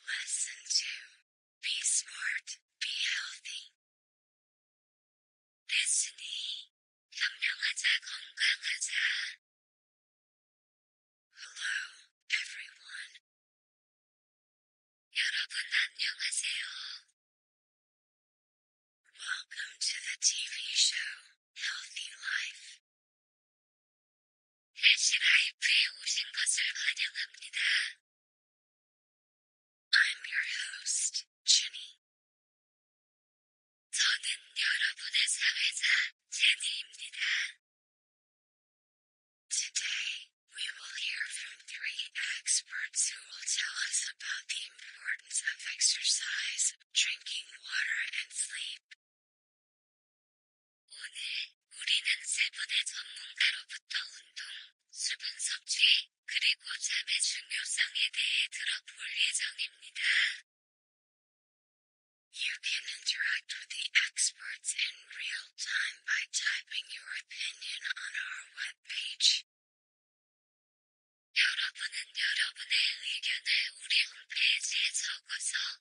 Listen to. Be smart, be healthy. 됐으니, 경영하자, 건강하자. Hello, everyone. 여러분 안녕하세요. Welcome to the TV show, Healthy Life. 환영합니다. I'm your host, Jenny. Today, we will hear from three experts who will tell us about the importance of exercise, drinking water, and sleep. 오늘 우리는 세분의 전문가로부터 운동, 수분 섭취, 그리고 잠의 중요성에 대해 들어볼 예정입니다. You can interact with the experts in real time by typing your opinion on our webpage. 여러분은 여러분의 의견을 우리 홈페이지에 적어서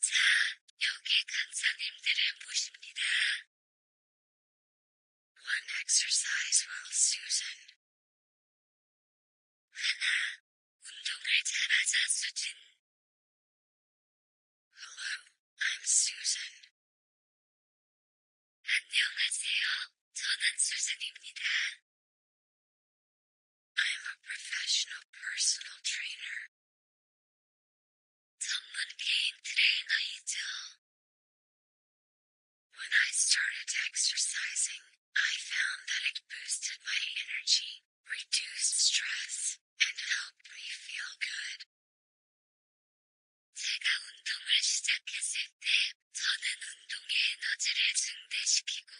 자, 여기 간사님들을 보십니다. One exercise while Susan. 하나, 운동을 잘하자 수진. Hello, I'm Susan. 안녕하세요, 저는 수진입니다. I am a professional personal trainer. Someone came to me When I started exercising, I found that it boosted my energy, reduced stress, and helped me feel good. 제가 운동을 시작했을 때, 저는 운동의 에너지를 증대시키고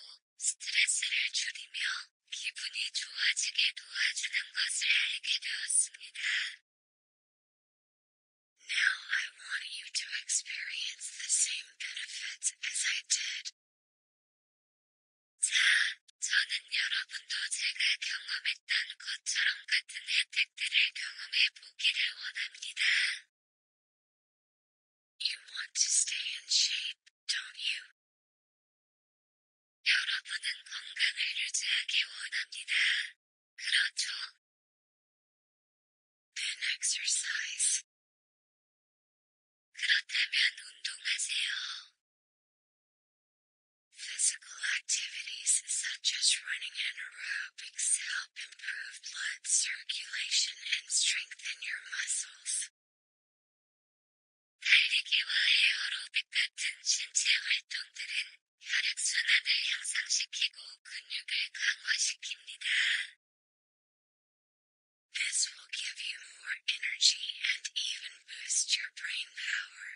스트레스를 줄이며 기분이 좋아지게 도와주는 것을 알게 되었습니다. Now I want you to experience the same benefits as I did. 자, 저는 여러분도 제가 경험했던 것처럼 같은 혜택들을 경험해 보기를 원합니다. You want to stay in shape? don't you? 여러분은 건강을 유지하기 원합니다. 그렇죠? Then exercise. 그렇다면 운동하세요. Physical activities such as running and aerobics help improve blood circulation and strengthen your muscles. 달리기와 에어로빅 같은 신체 활동들은 혈액순환을 향상시키고 근육을 강화시킵니다. This will give you more energy and even boost your brain power.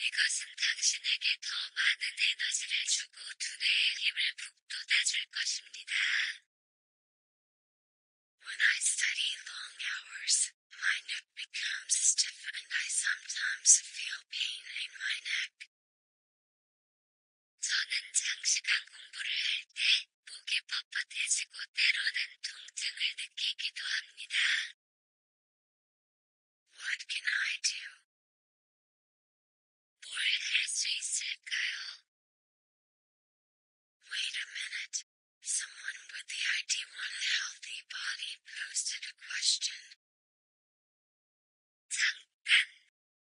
이것은 당신에게 더 많은 에너지를 주고 두뇌의 힘을 북돋아줄 것입니다. When I study long hours, my neck becomes stiff and I sometimes feel pain in my neck. 저는 장시간 공부를 할때 What can I do? 뭘할수 있을까요? Wait a minute. Someone with the ID One healthy body posted a question. 잠깐.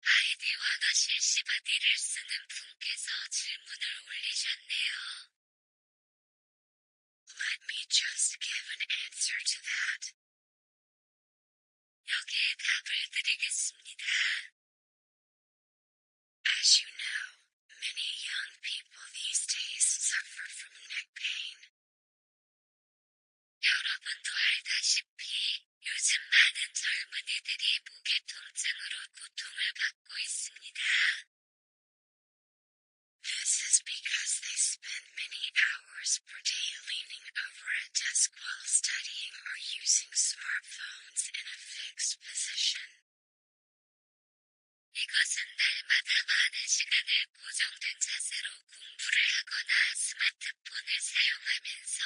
아이디와가 실시바디를 쓰는 분께서 질문을 올리셨네요. Let me just give an answer to that. 여기에 답을 드리겠습니다. As you know, many young people these days suffer from neck pain. 여러분도 알다시피 요즘 많은 젊은이들이 목의 통증으로 고통을 받고 있습니다. This is because they spend many hours per day leaning over a desk while studying or using smartphones in a fixed position. 이것은 날마다 많은 시간을 고정된 자세로 공부를 하거나 스마트폰을 사용하면서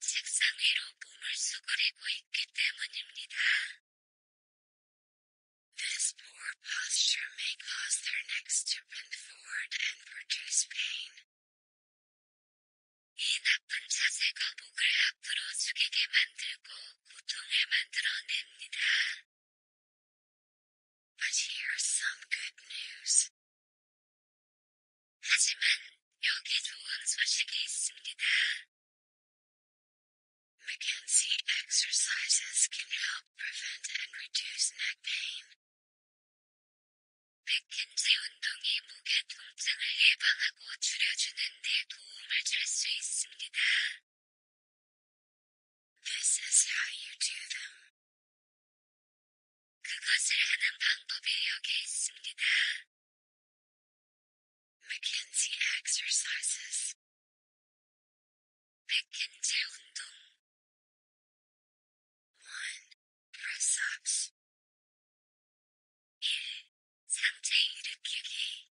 책상 위로 몸을 수그리고 있기 때문입니다. This poor posture may cause their necks to bend forward and produce pain. 이 나쁜 자세가 목을 앞으로 숙이게 만들고 But here's some good news. 하지만 여기 좋은 소식이 있습니다. McKenzie exercises can help prevent and reduce neck pain. 백킨지 운동이 무게 통증을 예방하고 줄여주는 데 도움을 줄수 있습니다. This is how you do them. 그것을 하는 방법이 여기 있습니다. McKinsey exercises. 백킨제 운동. 1. Press ups. 1. to 일으키기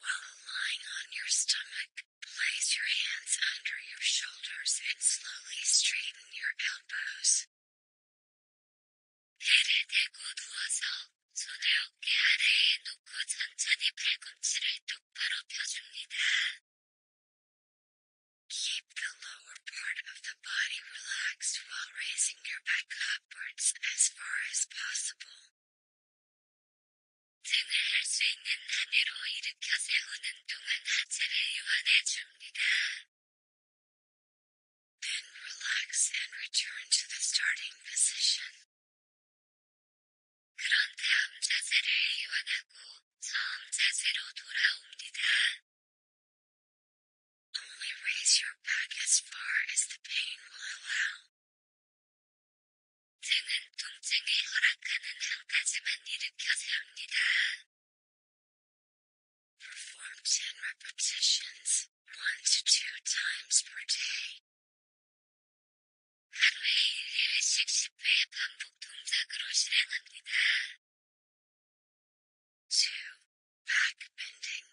While lying on your stomach, place your hands under your shoulders and slowly straighten your elbows. Keep the lower part of the body relaxed while raising your back as far as possible. 쟁을 할수 있는 하늘로 일으켜 세우는 동안 하체를 Then relax and return to the starting position. Only raise your back as far as the pain will allow. 등은 통증에 허락하는 한 가지만 일으켜서 합니다. Perform 10 repetitions, 1 to 2 times per day. 하루에 1일씩 10회 반복 동작으로 실행합니다. 2 back bending.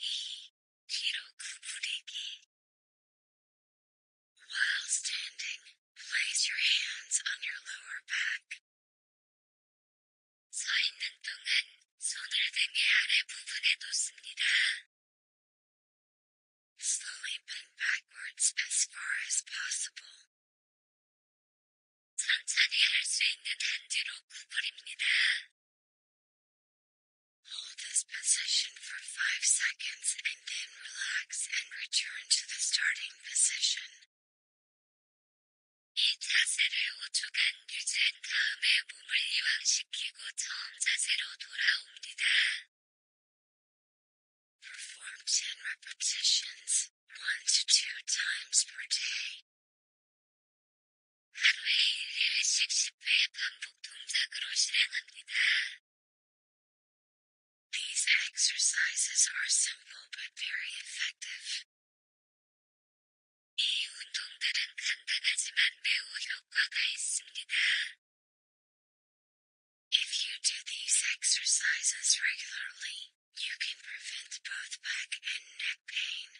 E. 뒤로 구부리기. While standing, place your hands on your lower back. 서 있는 동안 손을 등의 아래 부분에 놓습니다. Slowly bend backwards as far as possible. 천천히 할수 있는 한지로 구부립니다. Hold this position for 5 seconds and then relax and return to the starting position. 이 자세를 5초간 유지한 다음에 몸을 이완시키고 처음 Perform 10 repetitions, 1 to 2 times per day. These exercises are simple but very effective. 이 운동들은 간단하지만 매우 효과가 If you do these exercises regularly, you can prevent both back and neck pain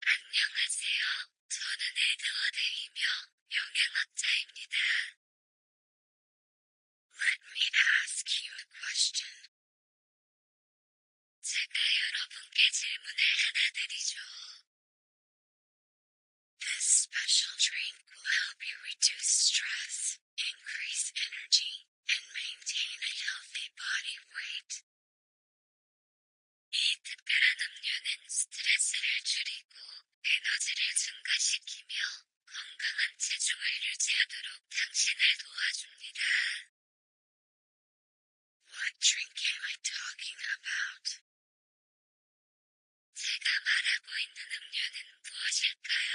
Let me ask you a question. 제가 여러분께 질문을 하나 드리죠. This special drink will help you reduce stress, increase energy, and maintain a healthy body weight. 이 특별한 음료는 스트레스를 줄이고 에너지를 증가시키며 건강한 체중을 유지하도록 당신을 도와줍니다. What drink am I talking about? 제가 말하고 있는 음료는 무엇일까요?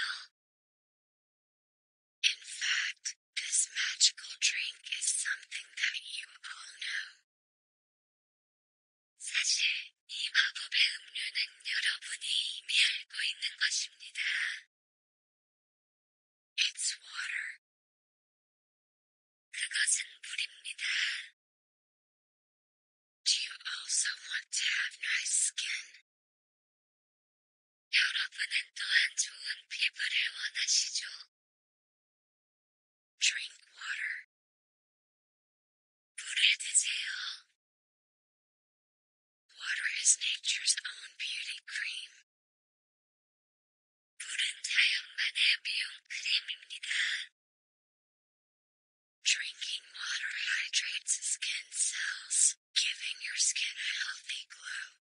In fact, This magical drink is something that you all know. It's water. 그것은 물입니다. Do you also want to have nice skin? 여러분은 또한 좋은 피부를 원하시죠? Drink water. Water is nature's own beauty cream. Drinking water hydrates skin cells, giving your skin a healthy glow.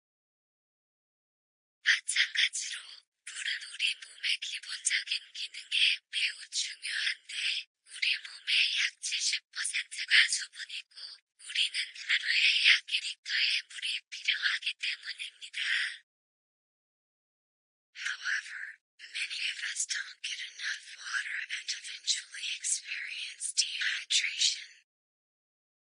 마찬가지로 물은 우리 몸의 기본적인 기능에 매우 중요한데 우리 몸의 약 70%가 수분이고 우리는 하루에 약 1리터의 물이 필요하기 때문입니다. However, many of us don't get enough water and eventually experience dehydration.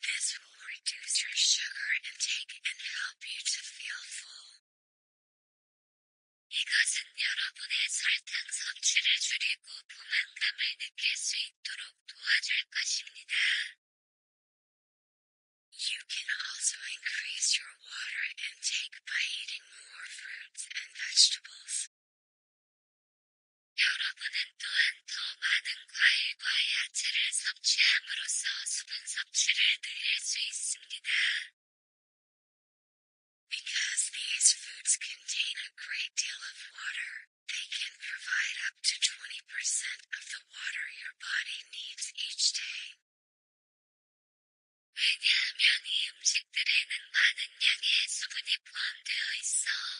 This will reduce your sugar intake and help you to feel full. You can also increase your water intake by eating more fruits and vegetables. 여러분은 또한 더 많은 과일과 야채를 섭취함으로써 수분 섭취를 늘릴 수 있습니다. Because these foods contain a great deal of water, they can provide up to 20% of the water your body needs each day.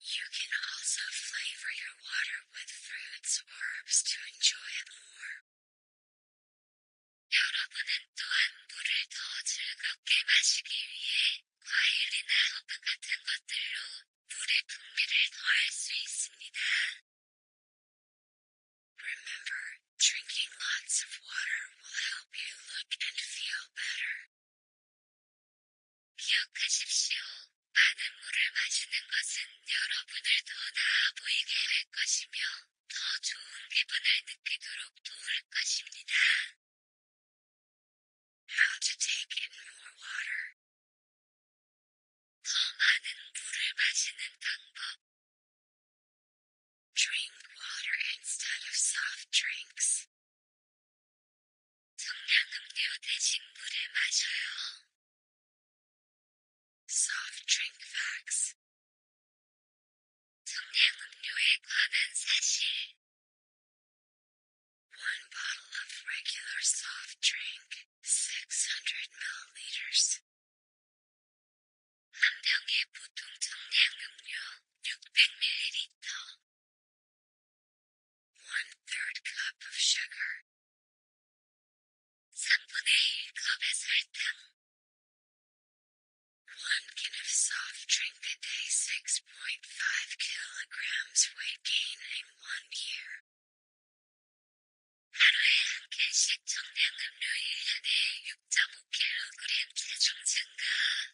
You can also flavor your water with fruits or herbs to enjoy it more. Remember, drinking lots of water will help you look and feel better. 기억하십시오. 많은 물을 마시는 것은 여러분을 더 나아 보이게 할 것이며 더 좋은 기분을 느끼도록 도울 것입니다. How to take in more water. 더 많은 물을 마시는 방법. Drink water instead of soft drinks. 성냥음료 대신 물을 Soft drink facts. One bottle of regular soft drink, 600 milliliters. 한 병의 보통 성냥음료 600ml. One third cup of sugar. 3분의 1컵의 설탕. One can of soft drink a day 6.5 kilograms weight gain in one year.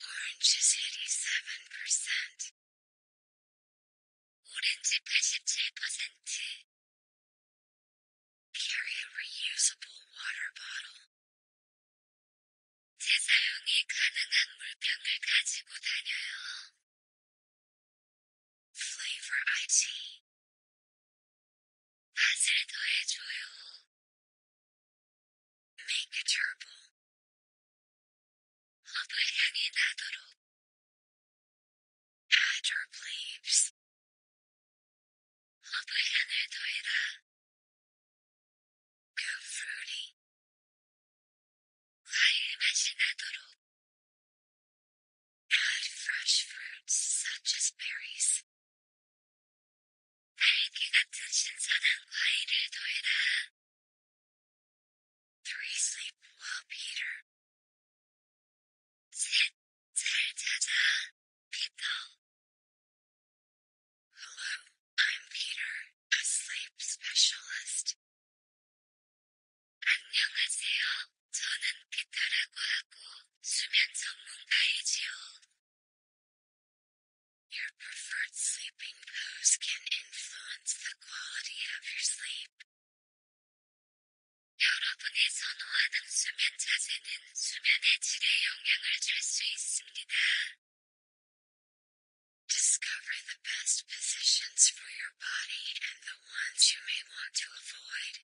Orange is 87%. percent Orange is 87%. Carry a reusable water bottle. 재사용이 가능한 물병을 가지고 다녀요. Flavor IT 맛을 더해줘요. Make a gerbil. 밥을 향해 나도록. Add herb leaves. 밥을 향을 더해라. Go fruity. 과일 맛이 나도록. Add fresh fruits such as berries. 딸기 같은 신선한 과일을 더해라. 3. Sleep well, Peter. 7. 잘 Peter. Hello, I'm Peter, a sleep specialist. 안녕하세요. 저는 피터라고 하고 수면 your preferred sleeping pose can influence the quality of your sleep. Discover the best positions for your body and the ones you may want to avoid.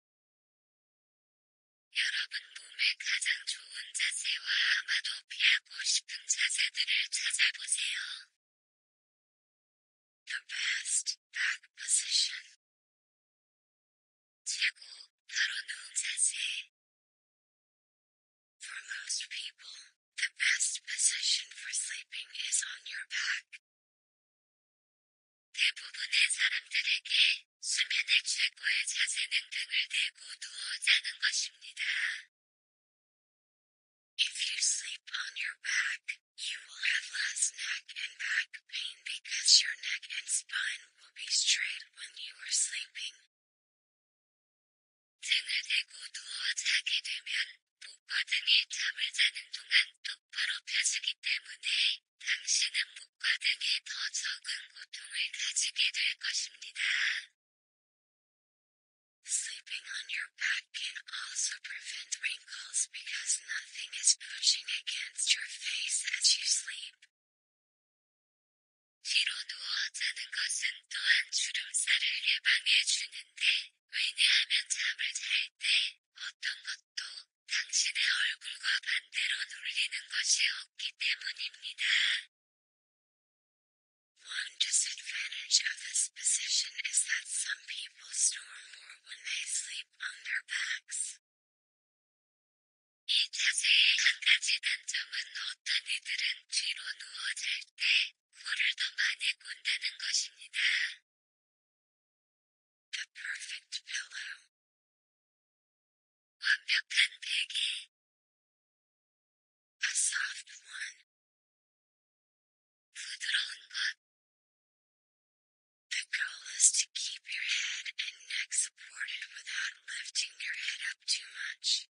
하고 싶은 자세들을 찾아보세요. The best back position. 최고 바로 누운 자세. For most people, the best position for sleeping is on your back. 대부분의 사람들에게 수면의 최고의 자세는 등을 대고 누워 자는 것입니다. If you sleep on your back, you will have less neck and back pain because your neck and spine will be straight when you are sleeping. 당신은 목과등에 더 적은 고통을 가지게 될 것입니다. Sleeping on your back can also prevent wrinkles because nothing is pushing against your face as you sleep. 뒤로 누워 것은 또한 주름살을 예방해 주는데, 왜냐하면 잠을 잘 때 어떤 것도 당신의 얼굴과 반대로 눌리는 것이 없기 때문입니다. One disadvantage of this position is that some people snore more when they sleep on their backs. The perfect pillow. A soft one. 부드러운 것. The goal is to keep your head and neck supported without lifting your head up too much.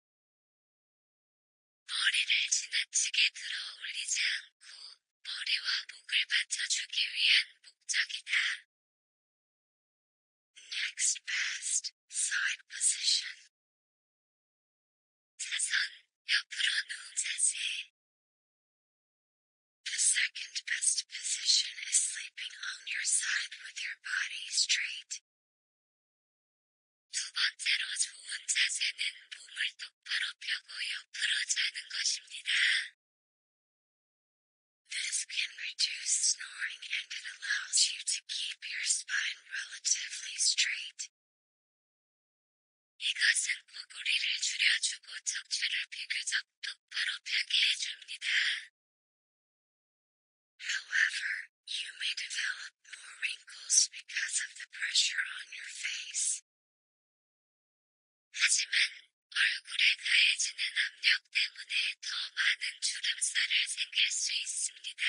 머리를 지나치게 들어 올리지 않고 머리와 목을 받쳐주기 위한 목적이다. Next best side position. 사선 옆으로 누운 자세. The second best position is sleeping on your side with your body straight. 두 번째로 좋은 자세는 몸을 똑바로 펴고 옆으로 자는 것입니다. This can reduce snoring and it allows you to keep keep your spine relatively straight. However, you may develop more wrinkles because of the pressure on your face. 하지만 얼굴에 가해지는 압력 때문에 더 많은 주름살을 생길 수 있습니다.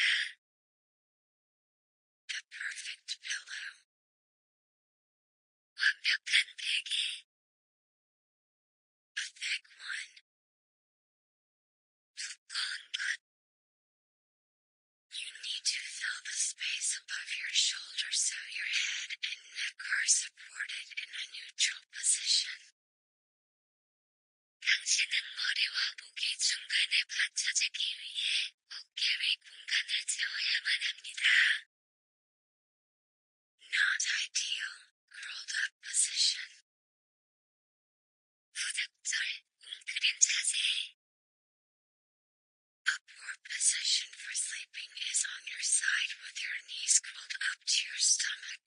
The perfect pillow. 완벽한 베개. A thick one. 두꺼운 것. You need to fill the space above your shoulder so your head and neck are supported in a neutral position. 당신은 머리와 목이 중간에 받쳐지기 위해 어깨 위 공간을 채워야만 합니다. Not ideal, curled up position. 부적절, 웅크린 자세. Upward position for sleeping is on your side with your knees curled up to your stomach.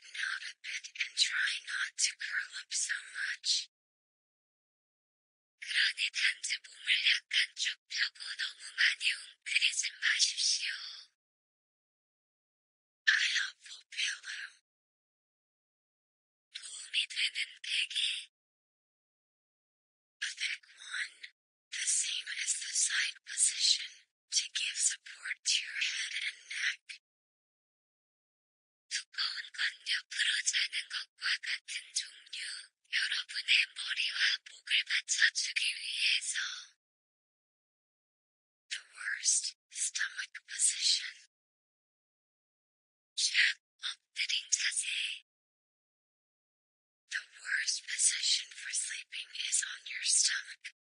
straighten a bit and try not to curl up so much. 그러니 단지 몸을 약간 좁혀고 너무 많이 웅크리지 마십시오. A helpful pillow. 도움이 되는 베개. A thick one, the same as the side position, to give support to your head and neck. The worst stomach position. 쫙 엎드린 자세. The worst position for sleeping is on your stomach.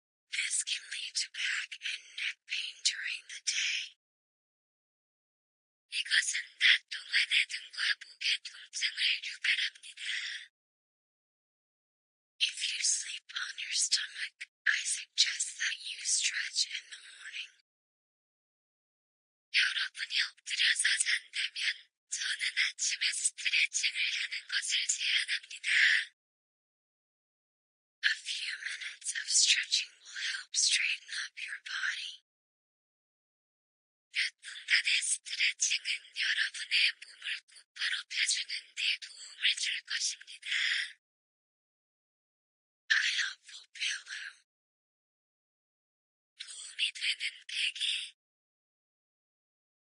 This can lead to back and neck pain during the day. 이것은 낮 동안에 등과 목의 통증을 유발합니다. If you sleep on your stomach, I suggest that you stretch in the morning. 여러분이 엎드려서 잔다면 저는 아침에 스트레칭을 하는 것을 제안합니다. A few minutes of stretching will help straighten up your body. A helpful pillow. 도움이 되는 베개.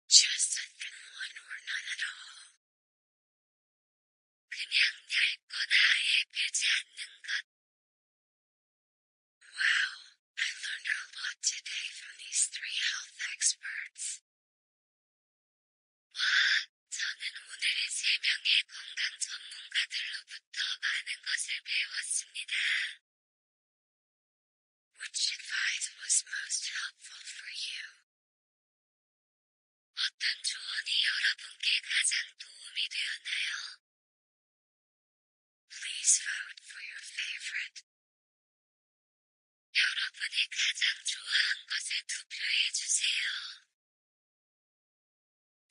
Just a thin one or none at all. Wow, I learned a lot today from these three health experts. 와, 저는 오늘의 세 명의 건강 전문가들로부터 많은 것을 배웠습니다. Which advice was most helpful for you? Please vote for your favorite. 여러분이 가장 좋아한 것에 투표해 주세요.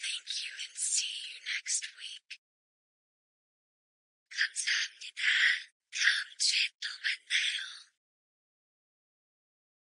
Thank you and see you next week. 감사합니다. 다음 주에 또 만나요.